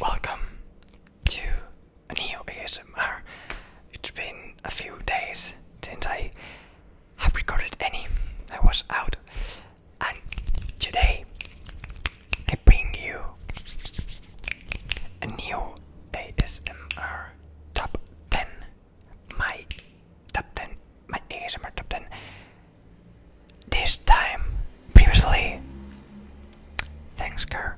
Welcome to new ASMR. It's been a few days since I have recorded any. I was out, and today I bring you a new ASMR top 10 my top 10, my ASMR top 10. This time, previously, thanks Kerr,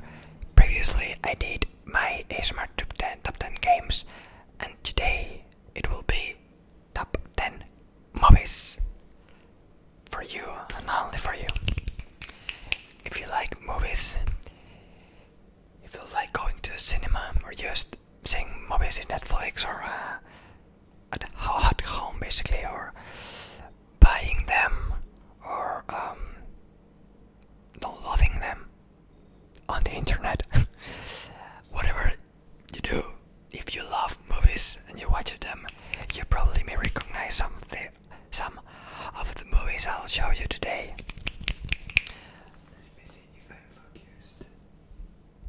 previously I did my ASMR top 10, top 10 games, and today it will be top 10 movies for you and only for you. If you like movies, if you like going to the cinema or just seeing movies in Netflix or uh, at, home basically, or buying them or um, loving them on the internet. Whatever you do, if you love movies and you watch them, you probably may recognize some of the, some of the movies I'll show you today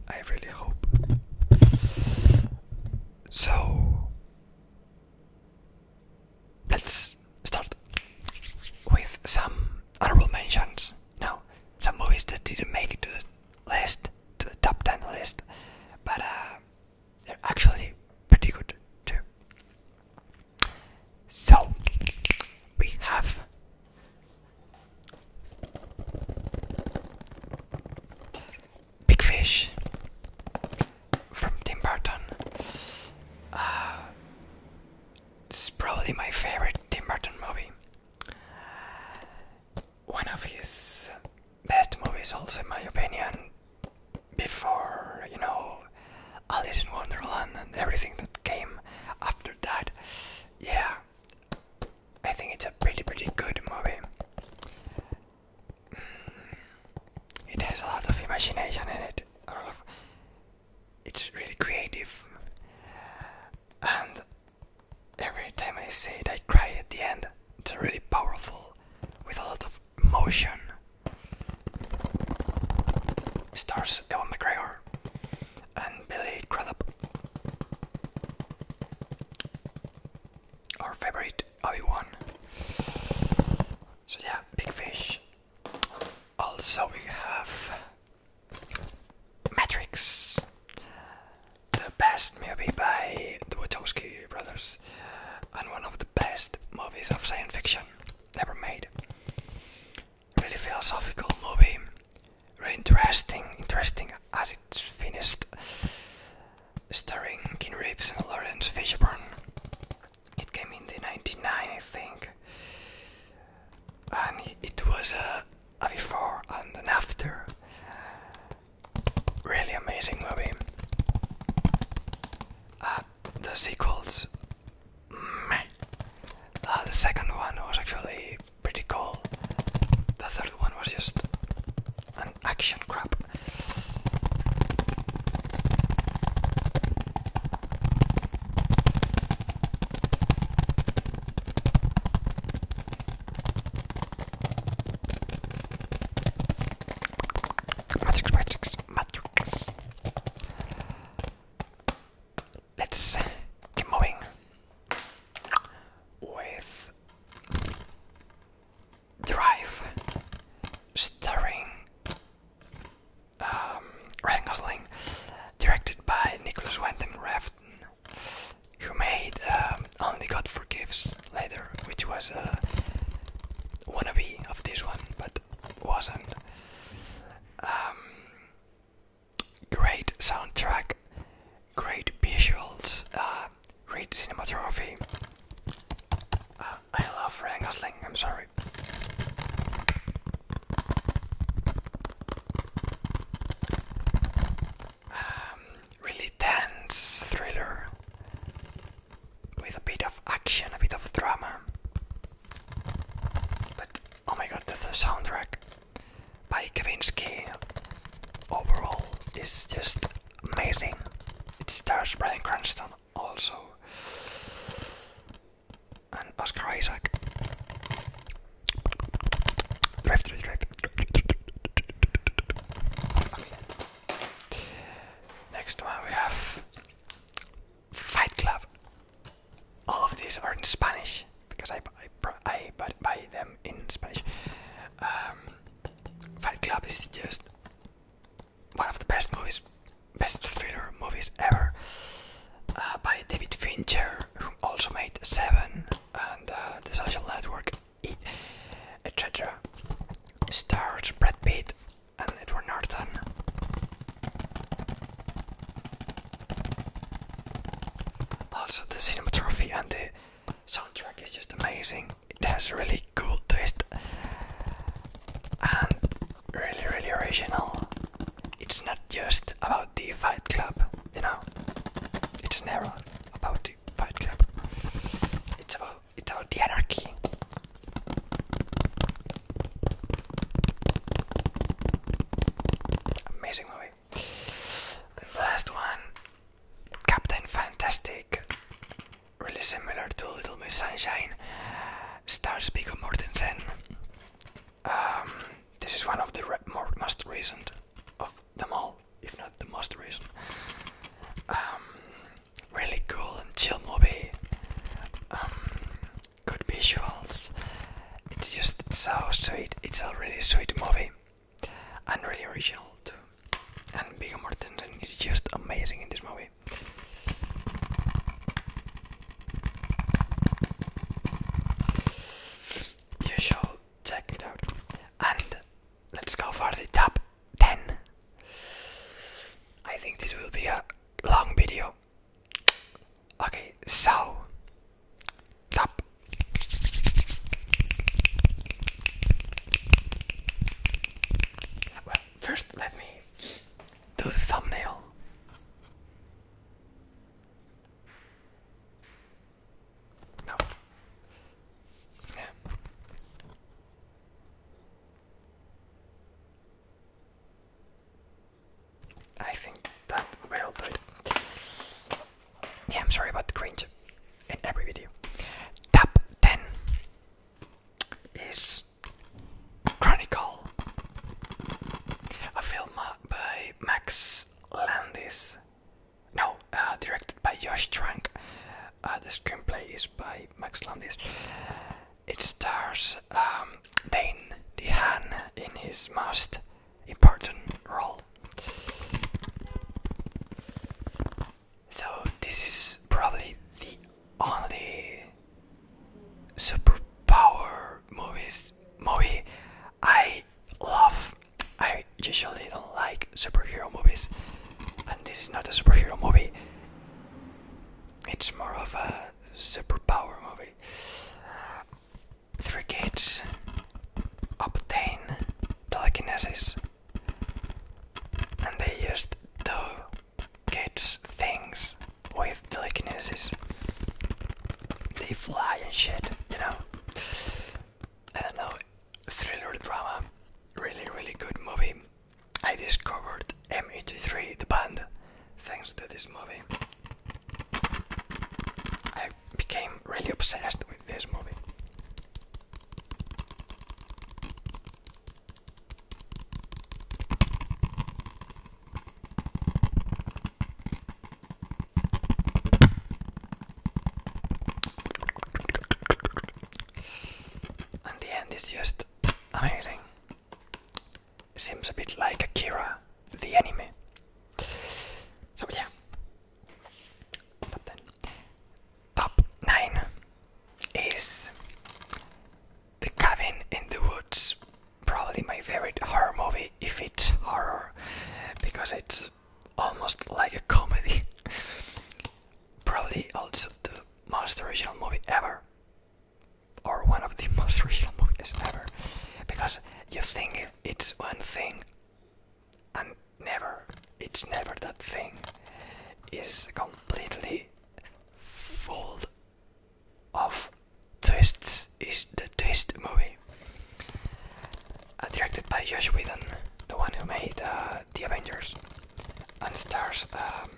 i really hope. So let's start with some honorable mentions. Now, some movies that didn't make to the list, to the top 10 list, but uh, they're actually pretty good too. So, we have Big Fish from Tim Burton. Uh, this is probably my favorite Tim Burton movie. One of his best movies, also in my opinion. Before you know, Alice in Wonderland and everything that came after that. Yeah, I think it's a pretty, pretty good movie. Mm. It has a lot of imagination in it. it's really creative. And every time I see it, I cry at the end. It's really powerful, with a lot of emotion. Stars Ewan McGregor and Billy Crudup. Our favorite Obi-Wan. So yeah, big fish. Also we have Matrix. The best movie by the Wachowski brothers and one of the best movies of science fiction ever made really philosophical movie, really interesting, interesting as it's finished, starring King Rips and Lawrence Fishburne. It came in the 99, I think, and it was a, a before and an after. Really amazing movie. Uh, the sequels uh, the second one was actually pretty cool. The third one was just an action crap. Matrix, Matrix, Matrix let's get moving with Drive, starring um, directed by Nicholas Winton Refn, who made um, Only God Forgives later, which was a wannabe of this one, but wasn't. Um, Great soundtrack, great visuals, uh, great cinematography. Uh, I love Ryan Gosling, I'm sorry. Um, really dense thriller with a bit of action, a bit of drama. Oh my god, That's the soundtrack by Kavinsky overall it's just amazing. It stars Brian Cranston also and Oscar Isaac. Next one we have Fight Club all of these are in Spanish because I I, I buy them in Spanish. Um, Fight Club is just one of the best movies, best thriller movies ever uh, by David Fincher, who also made Seven and uh, The Social Network, etc. Stars Brad Pitt and Edward Norton. Also, oh, the cinematography and the soundtrack is just amazing. It has a really cool twist and really, really original. It's not just about the Fight Club, you know. It's never about the Fight Club. It's about it's about the anarchy. Amazing movie. The last one, Captain Fantastic, really similar to Little Miss Sunshine, stars Viggo Mortensen. Um, this is one of the most recent of them all, if not the most recent. Um, really cool and chill movie. Um, good visuals. It's just so sweet. It's a really sweet movie, and really original too. And Viggo Mortensen is just amazing in this movie. You should check it out. And let's go for the top 10. I think this will be a long video Okay, so top. Well, first let me do the thumbnail. No. I think that will do it. Yeah, I'm sorry about the cringe in every video. Top 10 is Chronicle, a film uh, by Max Landis. No, uh, directed by Josh Trank. Uh, the screenplay is by Max Landis. It stars um, Dane DeHaan in his most important role. So this is probably the only superpower movies movie I love. I usually don't like superhero movies, and this is not a superhero movie. It's more of a superpower movie. Three kids obtain telekinesis and they used to kids things with telekinesis. They fly and shit, you know. I don't know, thriller drama, really, really good movie. I discovered M83, the band, thanks to this movie. I became really obsessed with this movie. And the end is just amazing. Seems a bit like Akira, the anime. So yeah. Top 9 is The Cabin in the Woods. Probably my favorite horror movie, if it's horror, because it's almost like a comedy. Probably also the most original movie ever or one of the most real movies ever because you think it's one thing and never it's never that thing is completely full of twists is the twist movie uh, directed by Josh Whedon the one who made uh, the Avengers and stars um,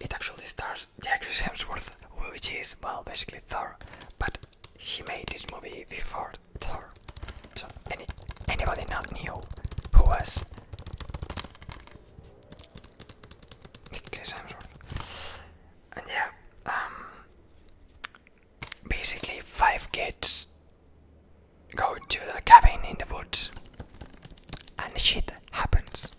it actually stars Chris Hemsworth, which is, well, basically Thor, but he made this movie before Thor. So, anybody not knew who was Chris Hemsworth. And yeah, um, basically, five kids go to a cabin in the woods and shit happens.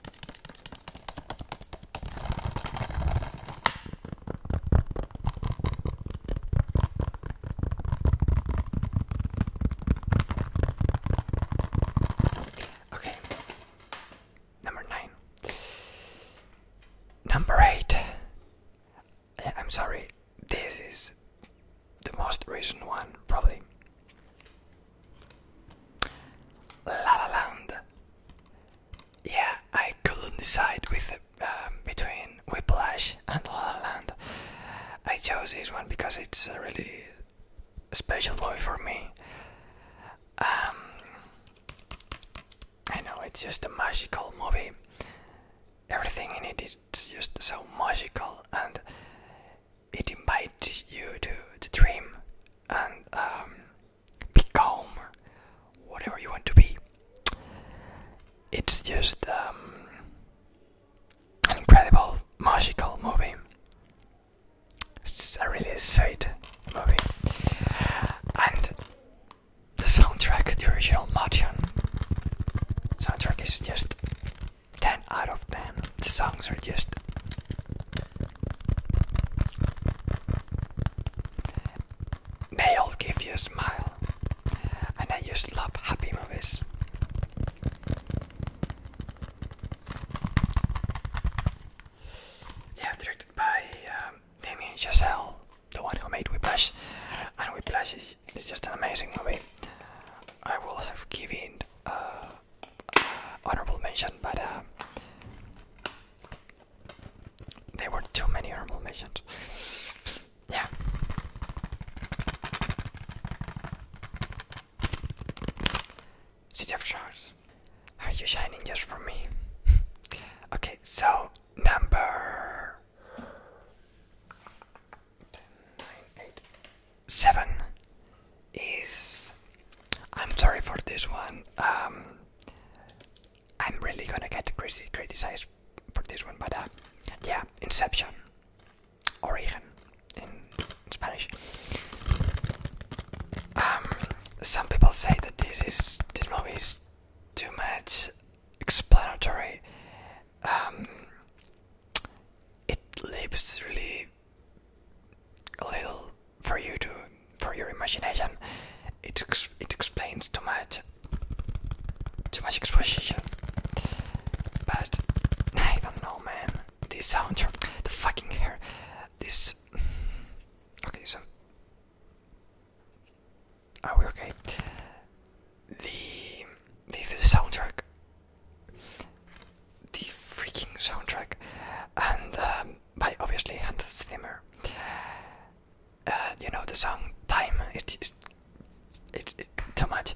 Okay, number nine. Number eight. I'm sorry, this is the most recent one, probably. La Land. Yeah, I couldn't decide um, between Whiplash and La Land. I chose this one because it's a really special movie for me. Um, I know it's just a magical movie. Everything in it is just so magical, and it invites you to, dream and um, become whatever you want to be. It's just um, an incredible, magical movie. It's a really sweet movie. And the soundtrack, the original motion soundtrack, is just 10 out of 10. The songs are just They'll give you a smile. And I just love happy movies. Yeah, directed by um, Damien Chazelle, the one who made Whiplash. And Whiplash is, just an amazing movie. I will have given uh, honorable mention, but uh, there were too many honorable mentions. yeah. City of are you shining just for me? okay, so number seven is. I'm sorry for this one. Um, I'm really gonna get criti criticized for this one, but uh, yeah, Inception, Origen in Spanish. Um, some people say that this is this movie is too much explanatory. Um, it leaves really a little for you to for your imagination. It it explains too much, too much exposition. But I don't know, man. This soundtrack, the fucking hair, this. Okay, so are we okay? The this soundtrack the freaking soundtrack, and um, by obviously Hans Zimmer. Uh, you know the song "Time." It's it, too much.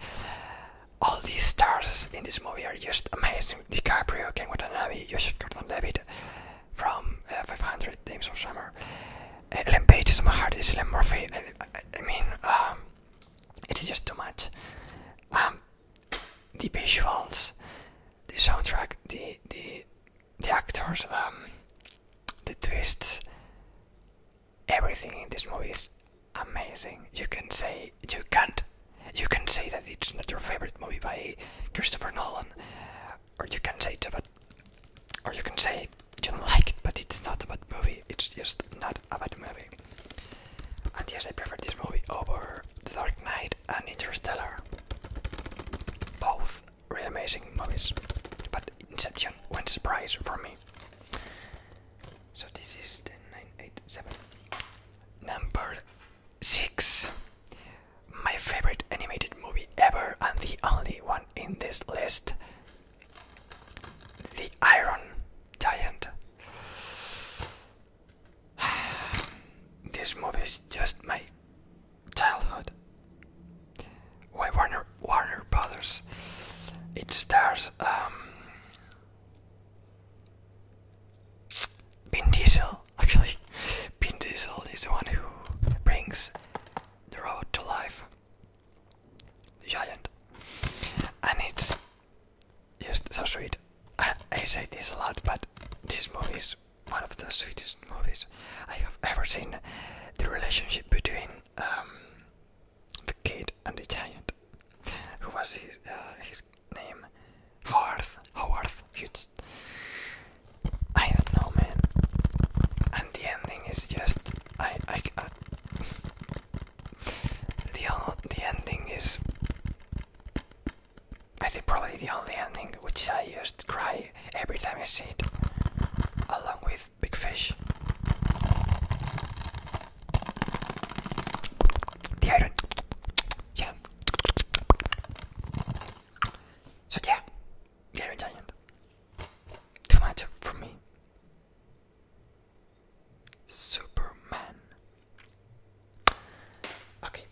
All these stars in this movie are just amazing. DiCaprio, Ken Watanabe, Joseph Gordon-Levitt from uh, 500 Days of Summer, uh, Ellen Page, Summer Hardis, Ellen Murphy. I, I, I mean, um, it is just too much. Um, the visuals, the soundtrack, the the the actors, um, the twists, everything in this movie is amazing. You can say you can't, you can say that it's not your favorite movie by Christopher Nolan, or you can say it's about, or you can say you don't like it, but it's not about movie. It's just not about the movie. And yes, I prefer this movie over The Dark Knight and Interstellar. Both really amazing movies, but Inception went surprise for me. So this is the 987. Number 6. My favorite animated movie ever and the only one in this list the Iron Giant. this movie is just my childhood. Warner Warner Brothers? It stars um, Vin Diesel. Actually, Vin Diesel is the one who brings the robot to life, the giant, and it's Yes, so sweet. I, say this a lot, but this movie is one of the sweetest movies I have ever seen. The relationship between um, the kid and the giant, who was his uh, his name, Howard Howard Hughes. I don't know, man. And the ending is just I. I the the ending is I think probably the only ending which I just cry every time I see it, along with Big Fish. The iron, yeah. So yeah, the Giant. Too much for me. Superman. Okay.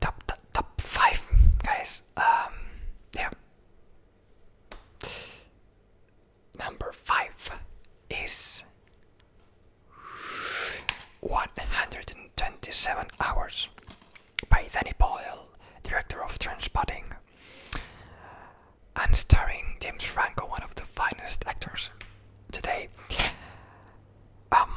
Top, top, top five, guys. Um, yeah. Number five is 127 Hours by Danny Boyle, director of Transpotting and starring James Franco, one of the finest actors today. Um,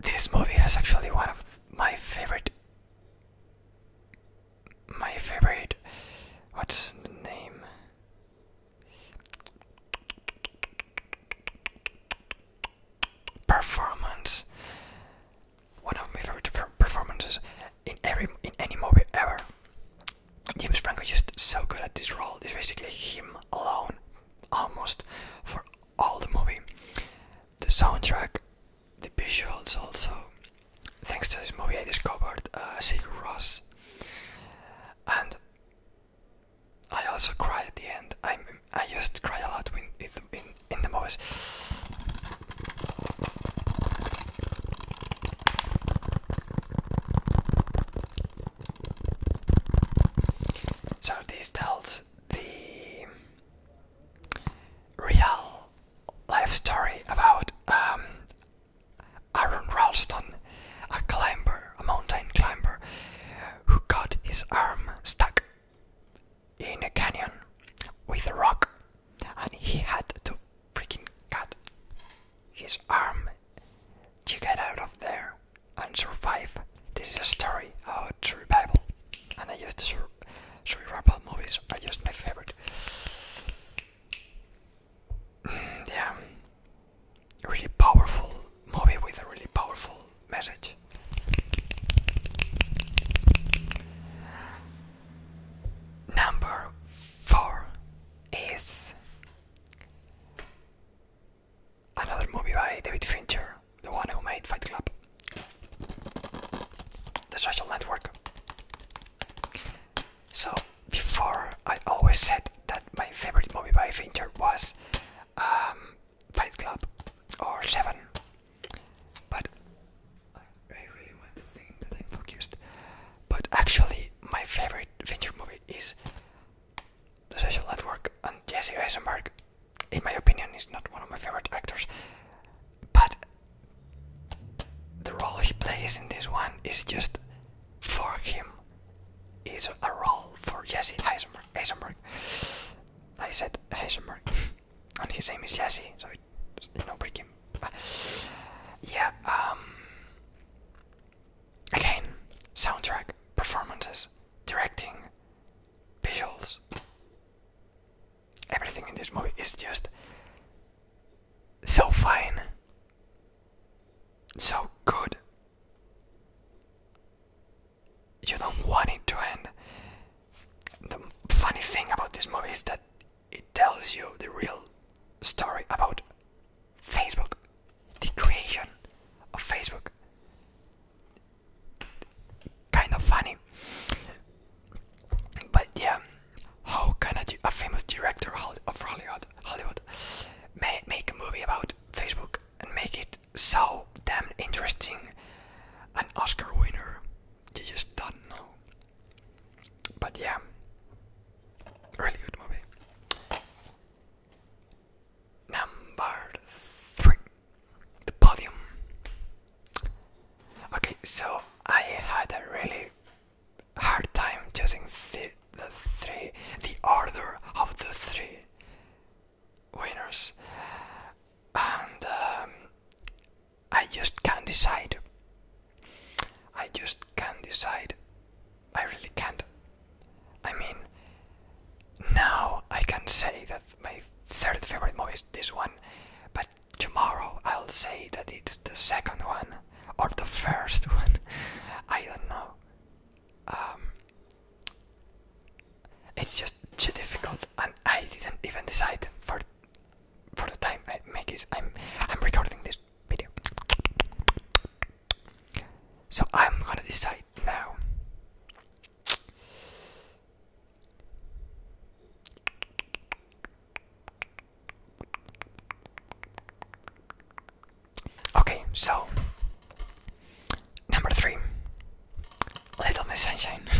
this movie has actually one of my favorite. My favorite. What's the name? performance. One of my favorite performances in every in any movie ever. James Franco is just so good at this role. It's basically him alone, almost for all the movie. The soundtrack, the visuals, also. Thanks to this movie, I discovered uh, Sig Ross, and I also cry at the end. I I to cry a lot in in, in the movies. So this tells the real life story about um, Aaron Ralston, a climber, a mountain climber, who got his arm stuck in a canyon with a rock and he had to freaking cut his arm to get out of there and survive. This is a story about Bible, and I used just sur about movies I just my favorite. yeah, really powerful movie with a really powerful message. Number four is another movie by David Fincher, the one who made Fight Club, The Social Network. So, before I always said that my favorite movie by Fincher was um, Fight Club or Seven. But I really want to think that i focused. But actually, my favorite feature movie is The Social Network, and Jesse Eisenberg, in my opinion, is not one of my favorite actors. But the role he plays in this one is just for him. Is a role for Jesse Eisenberg. Heisenberg, I said Heisenberg, and his name is Jesse, so it's no breaking. Yeah, um. Ehm, again, soundtrack, performances, directing, visuals. Everything in this movie is just so fine, so good you don't want it to end. The funny thing about this movie is that it tells you the real story about Facebook, the creation of Facebook. Kind of funny. But yeah, how can a, a famous director of Hollywood, Hollywood make a movie about Facebook and make it so damn interesting an Oscar winner. You just don't know. But yeah, really good movie. Number three, the podium. Okay, so I had a really hard time choosing the, three, the order of the three winners and um, I just can't decide. I just can't decide. I really can't. I mean, now I can say that my third favorite movie is this one, but tomorrow I'll say that it's the second one or the first one. I don't know. Um, it's just too difficult, and I didn't even decide for for the time I make this. I'm I'm recording this video, so I'm gonna decide now. Okay, so number three, Little Miss Sunshine.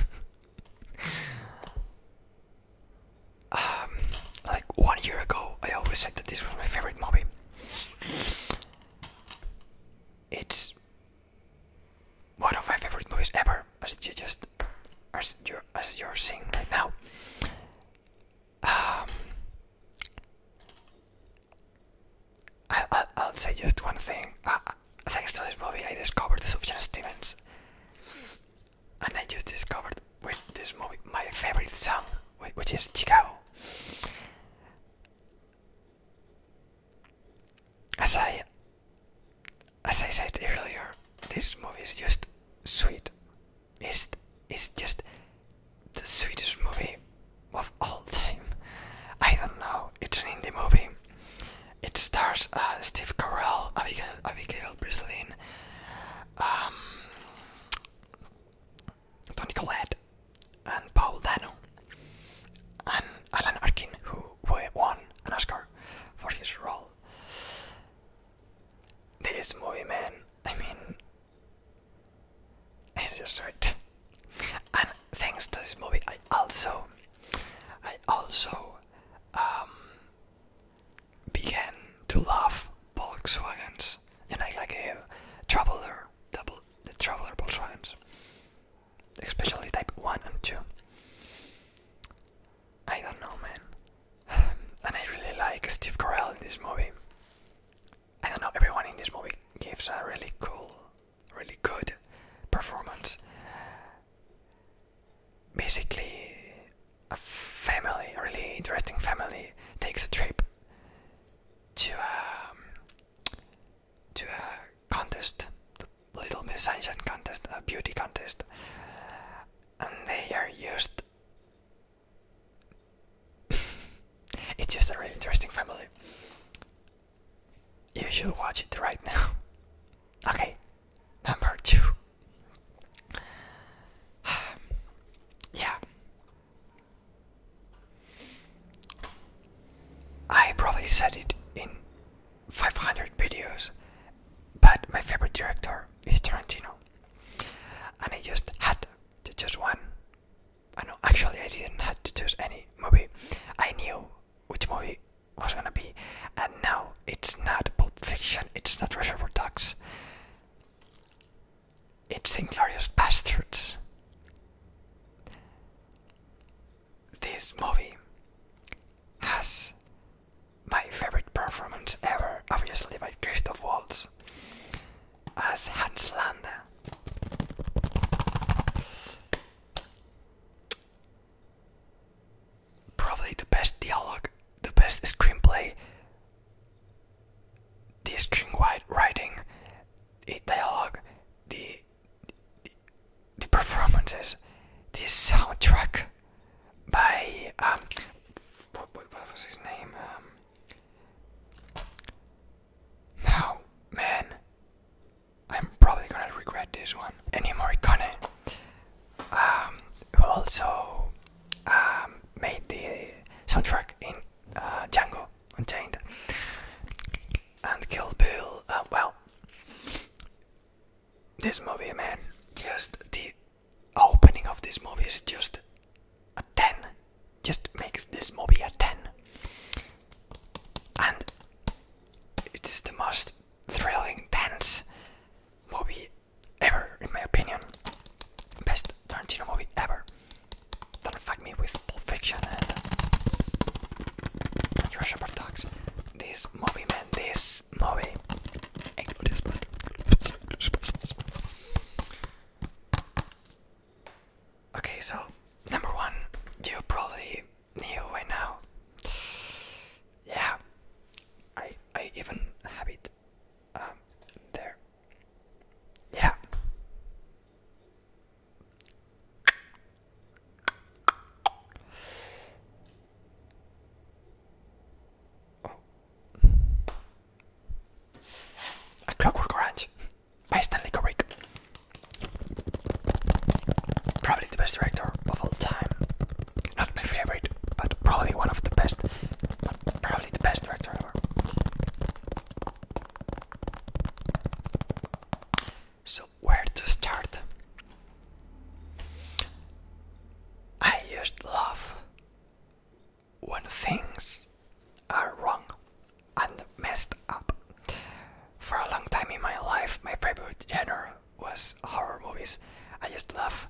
Um, like one year ago, I always said that this was my favorite movie. It's one of my favorite movies ever, as you just as you're as you're seeing right now. Um, I'll, say just one thing. thanks to this movie, I discovered Sufjan Stevens, and I just discovered with this movie my favorite song, which is Chicago. As I, as I said earlier, this movie is just sweet. It's, it's just the Swedish movie of all time. I don't know. It's an indie movie. It stars uh, Steve Carell, Abigail, Abigail Breslin, um, Tony Collette, and Paul Dano, and Alan Arkin, who won an Oscar for his role. This movie, man, I mean, and just right. And thanks to this movie, I also, I also, um, began to love Volkswagens, and I like a uh, traveler, the traveler Volkswagens, especially type one and two. I don't know, man. And I really like Steve Carell in this movie. I don't know, everyone in this movie gives a really cool, really good performance. Basically, a family, a really interesting family, takes a trip to a, um, to a contest, the Little Miss Sunshine contest, a beauty contest, and they are used it's just a really interesting family. You should watch it right now. Okay, number two. yeah. I probably said it in 500 videos, but my favorite director is Tarantino, and I just had to choose one I know actually I didn't have to choose any movie. I knew which movie was gonna be, and now it's not Pulp Fiction, it's not Reservoir Dogs, it's Inglorious Bastards. This movie has my favorite performance ever, obviously by Christoph Waltz as Hansland. Probably the best dialogue, the best screenplay, the screen writing, the dialogue, the, the, performances, the soundtrack by um, what was his name? Um, now, man, I'm probably gonna regret this one. Any Morricone um, also um, made the soundtrack in uh, Django and Kill Bill. Uh, well, this movie, man, just the opening of this movie is just a 10 just makes this movie a 10 and it is the most thrilling dance movie ever in my opinion best Tarantino movie ever don't fuck me with Pulp and, Russian Bar this movie man this movie Okay, so number one, you probably know by now. Yeah, I I even have it um, there. Yeah. Oh. A Clockwork Orange by Stanley Kubrick. Probably the best director of all time. Not my favorite, but probably one of the best. But probably the best director ever. So, where to start? I used love when things are wrong and messed up. For a long time in my life, my favorite genre was horror movies. I just love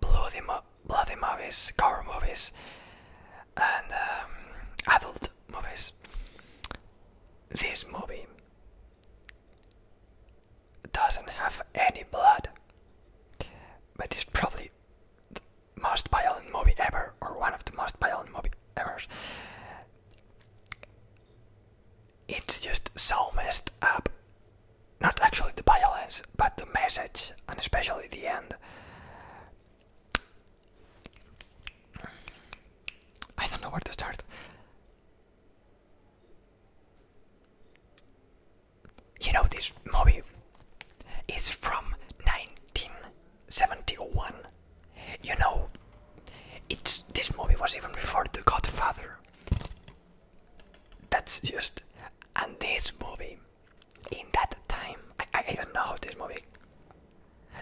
bloody, bloody movies, horror movies, and um, adult movies. This movie doesn't have any blood, but it's probably most violent movie ever, or one of the most violent movie ever. It's just so messed up. Not actually the violence, but the message, and especially the end. I don't know where to start you know this movie is from 1971. You know, it's this movie was even before The Godfather. That's just and this movie in that time I, I, I don't know this movie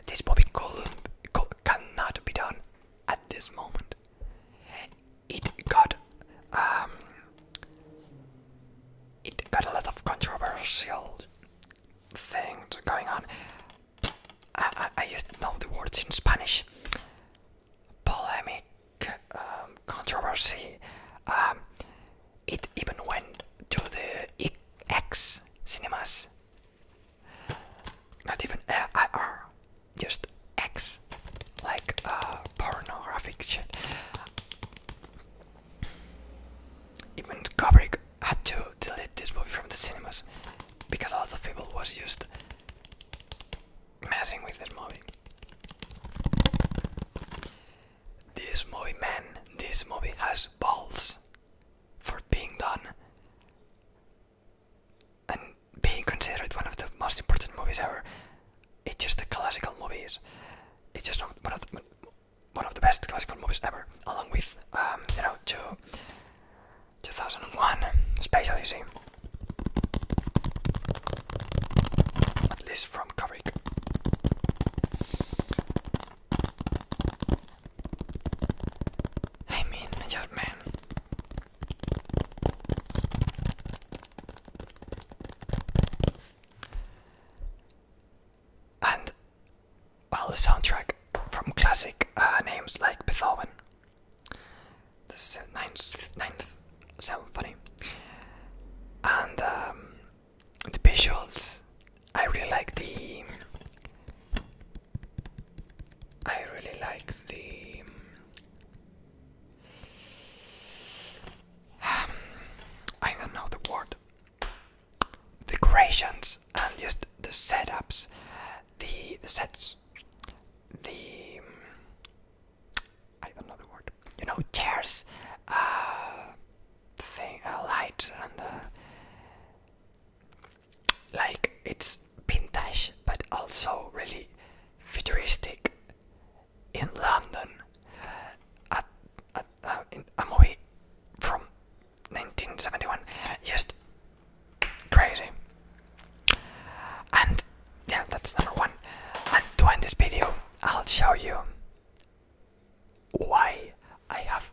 this movie could, cannot be done at this moment. It got um it got a lot of controversial things going on. I, I, I just know the words in Spanish. Polemic, um, controversy. Um, it even went to the X cinemas. Not even uh, IR, just X, like uh, pornographic shit. Even Kubrick had to delete this movie from the cinemas because a lot of people was just messing with this movie. This movie, man, this movie has balls for being done and being considered one of the most important movies ever. It's just a classical movie it's just one of one of the best classical movies ever, along with um, you know two, 2001 Space Odyssey. At least from Kubrick. I mean, your man. And while the soundtrack from classic uh, names like Beethoven, the ninth, sounds funny, and um, the visuals. I really like the. I really like the. I don't know the word. Decorations and just the setups, the, sets, the mm, I don't know the word. You know, chairs, uh, thing, uh, lights, and uh, like it's vintage, but also really futuristic in London at, uh, a movie from 1971. Just crazy. And yeah, that's number one. And to end this video, I'll show you why I have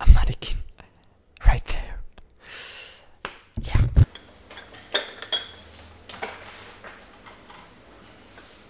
a mannequin right there. Yeah.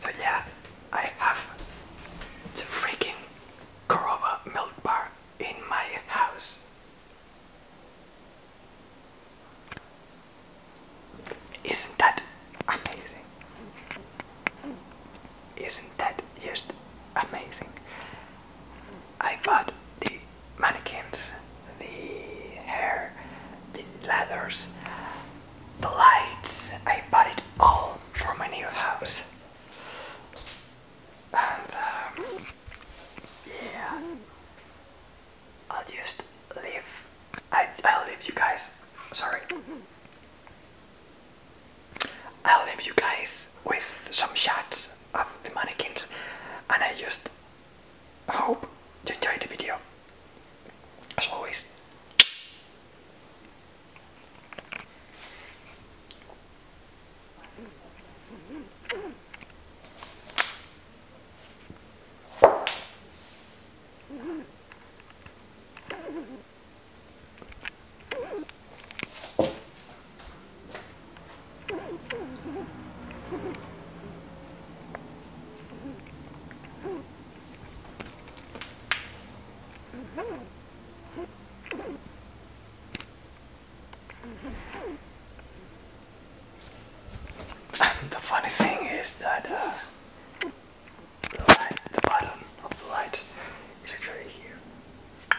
So yeah, I have the freaking Corova milk bar in my house. Isn't that amazing? Isn't that just amazing? I bought the mannequins, the hair, the leathers, the lights. I bought it all for my new house. And um, yeah, I'll just leave. I, I'll leave you guys. Sorry. I'll leave you guys with some shots of the mannequins and I just I hope you enjoyed the video. As always, the funny thing is that the, uh, light, the bottom of the light is actually here.